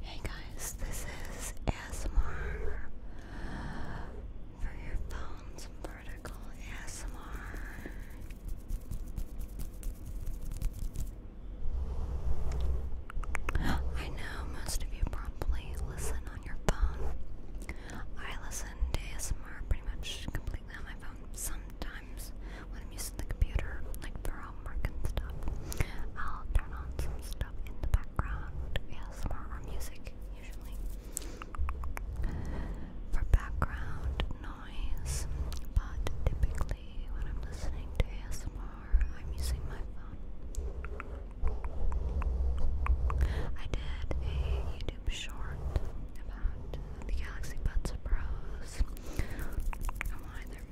Hey guys, this is ASMR for your phones vertical ASMR. I know most of you probably listen on your phone. I listen to ASMR pretty much completely on my phone sometimes when I'm using the computer, like for homework and stuff, I'll turn on some stuff in the background, yeah, music usually, for background noise. But typically, when I'm listening to ASMR, I'm using my phone. I did a YouTube short about the Galaxy Buds Pros and why they're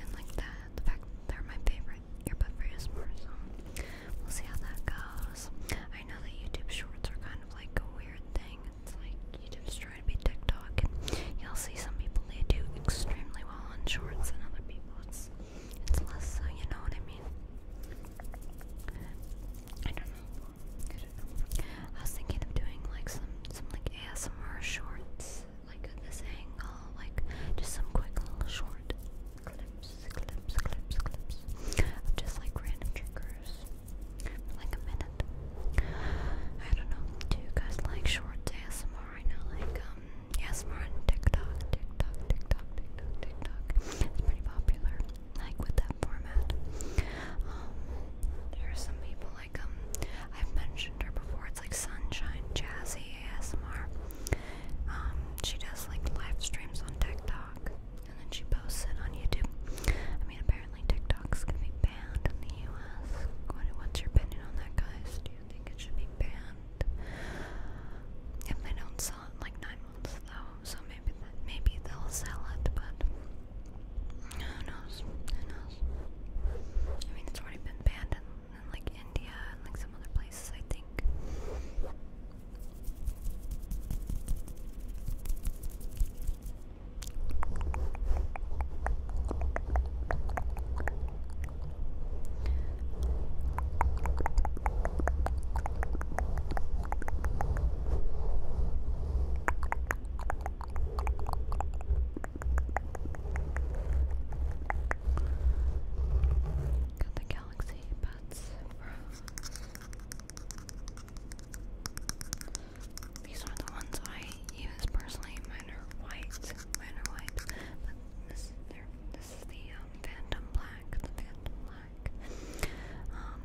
and like that. In fact, they're my favorite earbud for ASMR, so we'll see how that goes. I know that YouTube Shorts are kind of like a weird thing. It's like YouTube's trying to be TikTok, and you'll see some people they do extremely well on Shorts, and other people it's it's less so. You know what I mean? I don't know good. I was thinking of doing like some some like ASMR shorts, like at this angle, like just some quick little short clips, clips, clips, clips of just like random triggers, for, like a minute. I don't know. Do you guys like short ASMR right now? Like um, ASMR on TikTok, TikTok, TikTok, TikTok, TikTok. It's pretty popular, like with that format. Um, there are some people like um I've mentioned her before. It's like Sunshine Jazzy ASMR. Um, she does like live streams on TikTok, and then she posts it on YouTube. I mean, apparently TikTok's gonna be banned in the U.S. what's your opinion on that, guys? Do you think it should be banned? If they don't sell it in like nine months, though, so maybe maybe they'll sell it, but. Who knows? Who knows? I mean, it's already been banned in, like India and like some other places, I think. Got the Galaxy Buds These are the ones I use personally. Mine are white. Mine are white. But this, this is the um, Phantom Black. The Phantom Black. Um,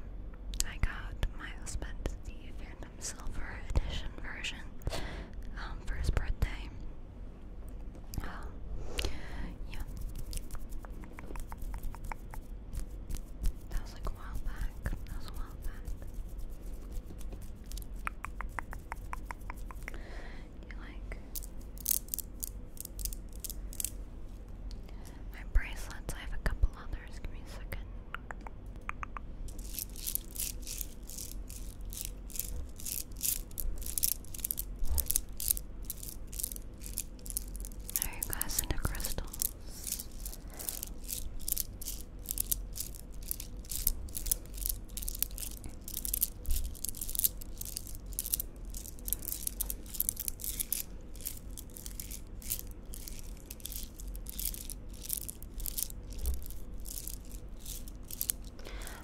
I got my husband the Phantom silver edition version um, birthday. Um, yeah. That was like a while back. That was a while back. You like my bracelets? I have a couple others. Give me a second. Are you guys into crystals?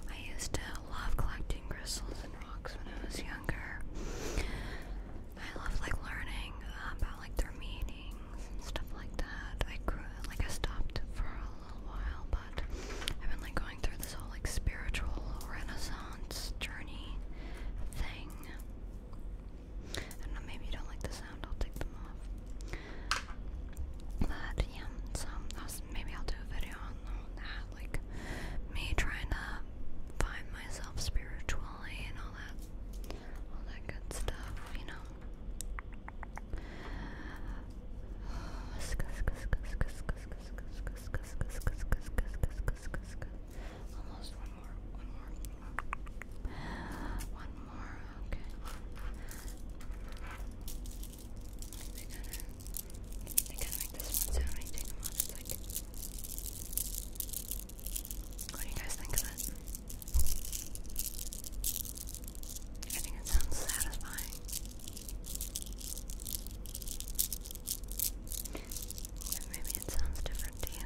I used to love collecting crystals and rocks when I was younger. I loved like learning about like their meanings and stuff like that. I grew like I stopped for a little while, but I've been like going through this whole like spiritual renaissance journey thing. I don't know, maybe you don't like the sound, I'll take them off. maybe I'll do a video on, like me trying to find myself spiritually and all that, all that good stuff, you know okay. They kinda, they kinda make this one sound when you What do you guys think of it? I think it sounds satisfying. But maybe it sounds different to you.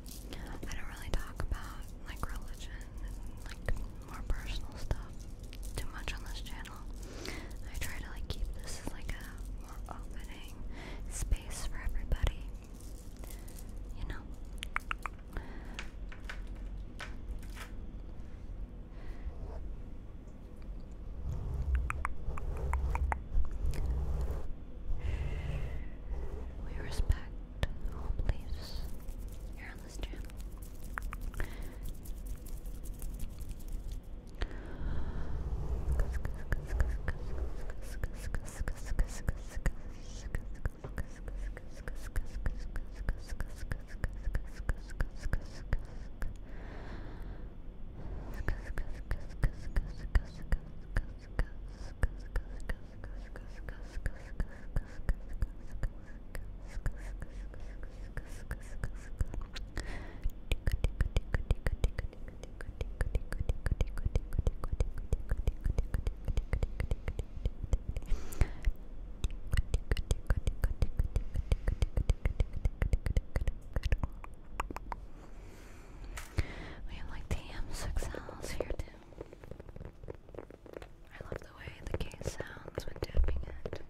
I don't really talk about like religion and like more personal stuff too much on this channel. I try to like keep this like a more opening space for everybody. You know. We respect please. You're on this channel. We have like damn six hours here too. I love the way the case sounds when tapping it.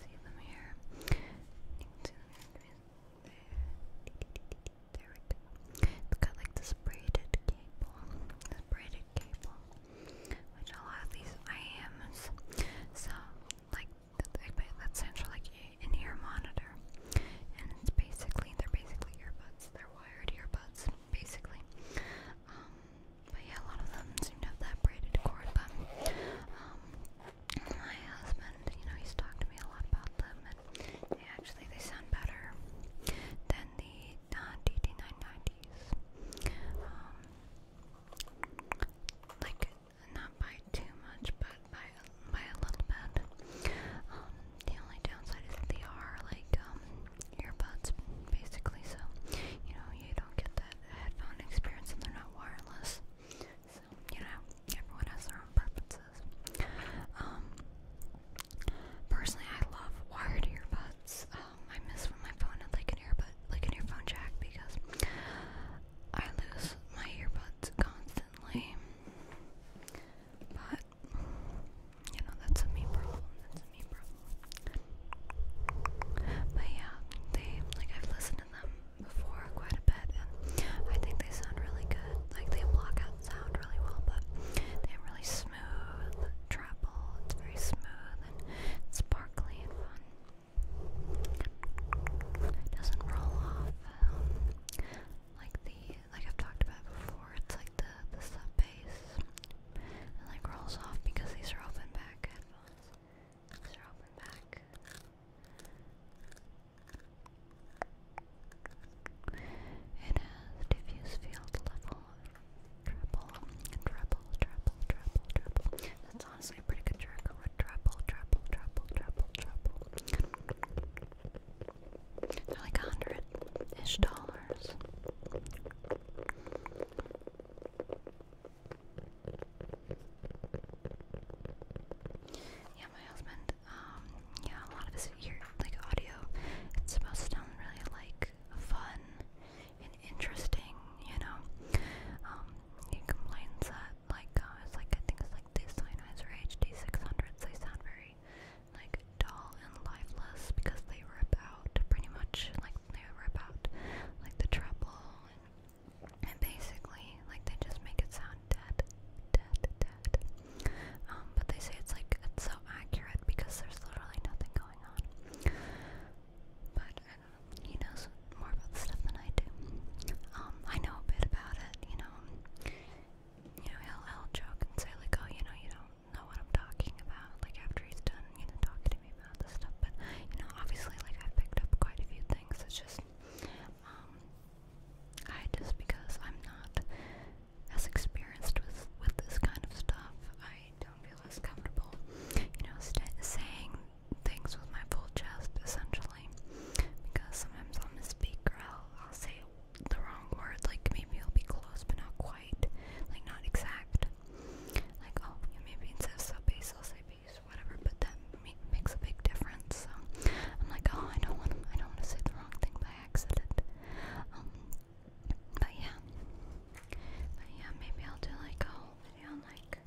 See them here. see them here. There. There we go. It's got like this braided cable, this braided cable, which a lot of these IMs, so like that's stands for like an ear monitor, and it's basically they're basically earbuds, they're wired earbuds, basically. Um, but yeah, a lot of them seem to have that braided cord. But um, my husband, you know, he's talked to me a lot about them, and actually they sound better than the uh, DT990s. Um, like not by too much, but by by a little bit. Um, the only downside is that they are like um, earbuds, basically. So you know you don't get that headphone experience, and they're not wireless. So you know everyone has their own preferences. Um, personally, I love wired earbuds. Um, I miss when my phone had like an earbud, like an earphone jack, because I lose my earbuds constantly. But you know, that's a me problem. That's a me problem. But yeah, they like I've listened to them before quite a bit, and I think they sound really good. Like they block out that sound really well, but they have really smooth treble. It's very smooth and sparkly and fun. doesn't roll off um, like the like I've talked about before. It's like the the sub bass. It like rolls off because these are open back headphones. These are open back. It has diffuse field level treble, treble, treble, treble, treble. That's honestly a pretty good trick with treble, treble, treble, treble, They're like a hundred ish dollars. Yeah, my husband um, yeah, a lot of this here, like audio, it's supposed to sound really like fun and interesting, you know. Um, he complains that like uh, it's like I think it's like these Sennheiser HD six hundreds. They sound very like dull and lifeless because they rip out pretty much like they rip out like the treble and, and basically like they just make it sound dead, dead, dead. Um, but they say it's like it's so accurate because there's literally nothing going on. But uh, he knows more about the stuff than I do. Um, I know a bit about it, you know. You know, he'll, he'll joke and say like, "Oh, you know, you don't know what I'm talking about." Like after he's done, you know, talking to me about this stuff. But you know, obviously, like I've picked up quite a few things. It's just, um, I just because I'm not as experienced with with this kind of stuff, I don't feel as comfortable, you know, st saying things with my full chest essentially, because sometimes I'll misspeak or I'll, I'll say the wrong word, like maybe it'll be close but not quite, like not exact. Like oh, you know, maybe instead of sub base I'll say base, whatever, but that makes a big difference. So I'm like, oh, I don't want to, I don't want to say the wrong thing, but accident. Um, but yeah, but yeah, maybe I'll do like a whole video on like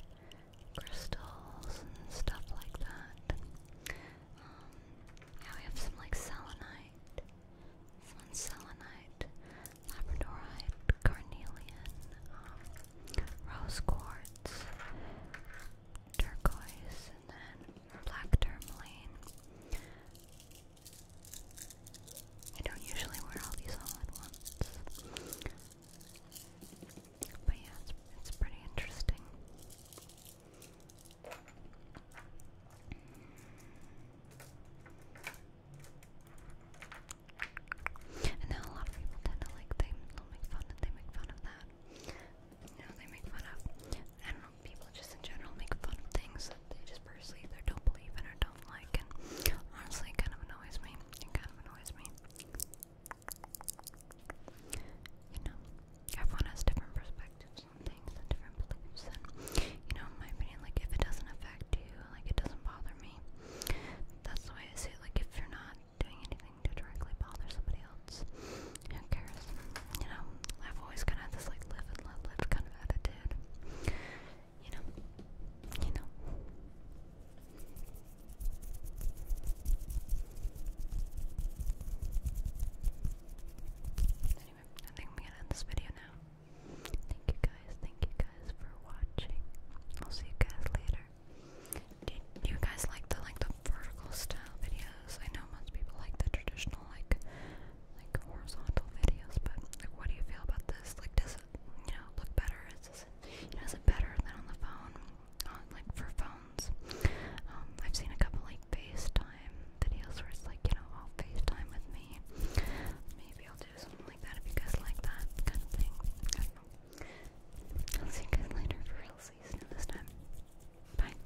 crystals and stuff like that. Um, yeah, we have some like selenite, fun selenite, labradorite, carnelian, um, rose quartz, turquoise, and then black tourmaline. I don't usually wear all these all at But yeah, it's, it's pretty interesting. And then a lot of people tend to like, they, they make fun of that you know, they make fun of. I don't know, people just in general make fun of things that they just personally either don't believe in or don't like, and honestly, it kind of annoys me. It kind of annoys me. You know, everyone has different perspectives on things and different beliefs, and you know, in my opinion, like if it doesn't affect you, like it doesn't bother me. That's the way I see it. Like if you're not doing anything to directly bother somebody else, who cares? You know, I've always kind of this like live and let live kind of attitude. You know, you know. Anyway, I think I'm gonna end this video now. Thank you guys, thank you guys for watching. I'll see you guys later. Did you guys like the like the vertical style video? I know most people like the traditional, like, like horizontal videos, but what do you feel about this? Like, does it, you know, look better? Is this, is it better than on the phone? On like for phones, um, I've seen a couple like FaceTime videos where it's like, you know, I'll oh, FaceTime with me. Maybe I'll do something like that if you guys like that kind of thing. I not know. will see you guys later for real. See this time. Bye.